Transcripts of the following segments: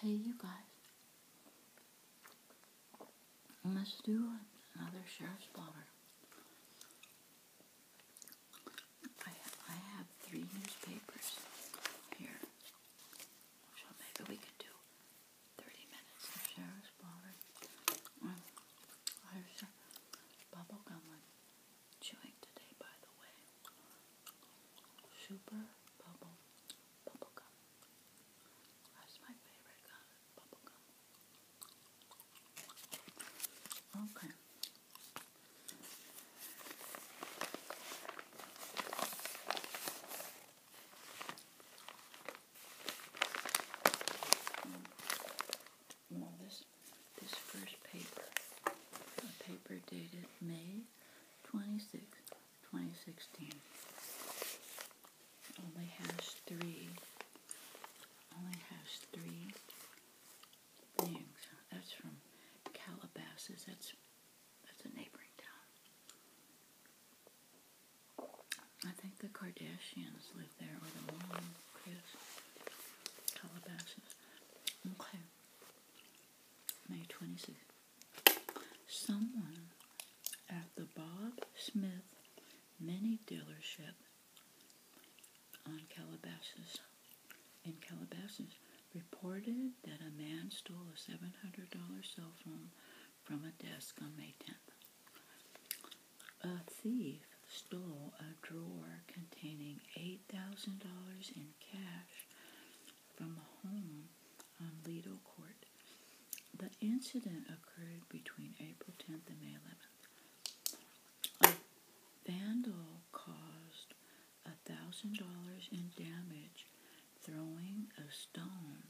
Hey, you guys. Let's do another sheriff's blotter. I, have three newspapers here. maybe we could do 30 minutes of sheriff's blotter. Um, mm. there's a chewing today, by the way. Super bubble bubble gum. That's my favorite gum, bubble gum. Okay. Mm. Well, this this first paper. A paper dated May 26, 2016. Only has three. Only has three things. That's from Calabasas. That's that's a neighboring town. I think the Kardashians live there with a mom, Chris. Calabasas. Okay. May 26th. Someone at the Bob Smith Mini Dealership on Calabasas in Calabasas reported that a man stole a $700 cell phone from a desk on May 10th. A thief stole a drawer containing eight. Thousand dollars in cash from a home on Lido Court. The incident occurred between April 10th and May 11th. A vandal caused $1,000 in damage throwing a stone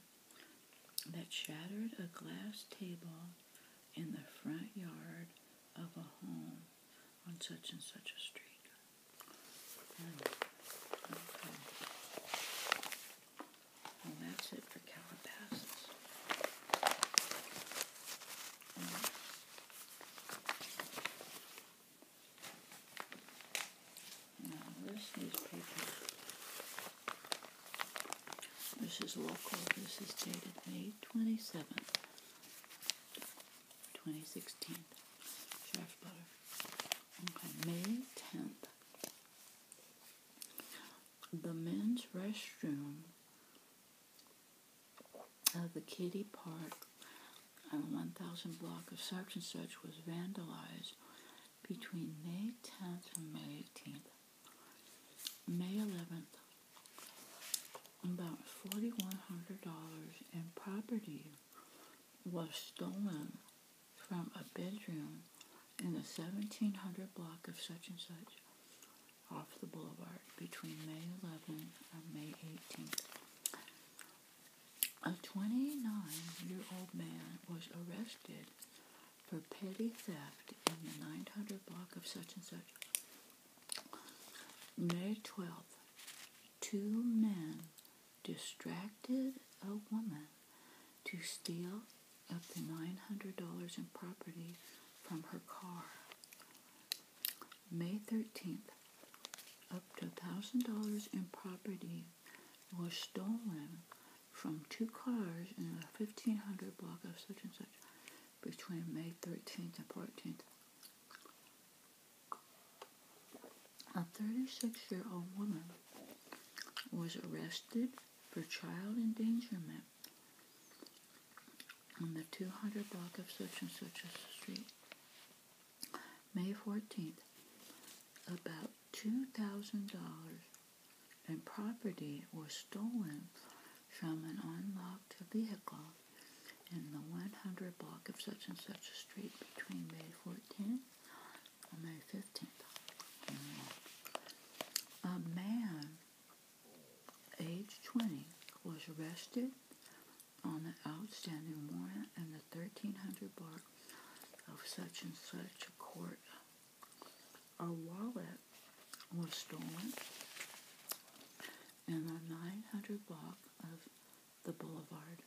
that shattered a glass table in the front yard of a home on such and such a street. okay. Well, that's it for Calabasas. now, this newspaper, this is local, this is dated May 27th. 2016 Chef Butter. Okay, May 10th. The men's restroom of the Kitty Park on 1000 block of such and such was vandalized between May 10th and May 18th. May 11th, about $4,100 in property was stolen from a bedroom in the 1700 block of such and such off the boulevard between May 11 and May 18th. A 29-year-old man was arrested for petty theft in the 900 block of such and such May 12th. Two men distracted a woman to steal up to $900 in property from her car. May 13th. Up to $1,000 in property was stolen from two cars in the 1500 block of such and such between May 13th and 14th. A 36 year old woman was arrested for child endangerment on the 200 block of such and such a street. May 14th, about $2,000 and property was stolen from an unlocked vehicle in the 100 block of such and such a street between May 14th and May 15th. A man, age 20, was arrested on an outstanding warrant in the 1300 block of such and such a court our wallet was stolen in the 900 block of the boulevard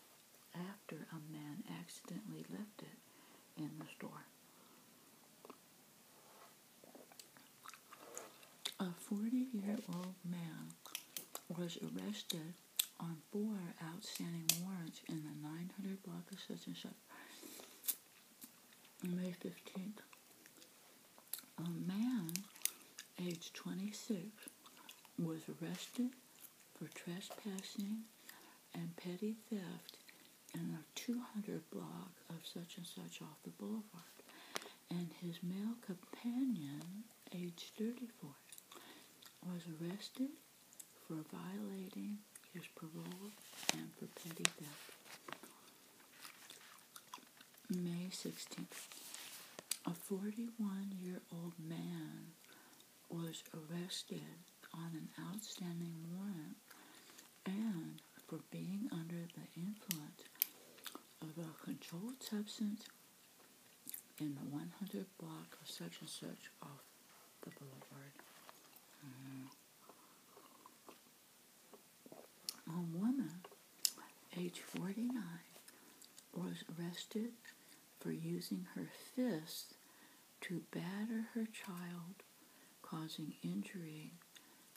after a man accidentally left it in the store. A 40 year old man was arrested on four outstanding warrants in the 900 block of such May 15th. A man, age 26, was arrested for trespassing and petty theft in a 200 block of such and such off the boulevard. And his male companion, age 34, was arrested for violating Here's parole and for petty theft. May 16th. A 41 year old man was arrested on an outstanding warrant and for being under the influence of a controlled substance in the 100 block of such and such off the boulevard. Mm-hmm. A woman, age 49, was arrested for using her fists to batter her child, causing injury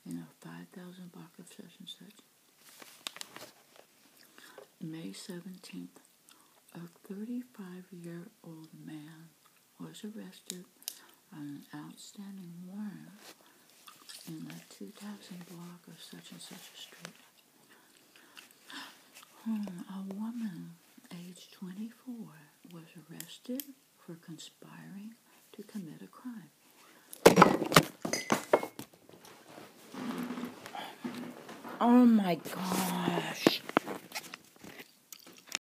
in a 5,000 block of such and such. May 17th, a 35 year old man was arrested on an outstanding warrant in the 2000 block of such and such a street. Hmm, a woman aged 24 was arrested for conspiring to commit a crime. Oh my gosh.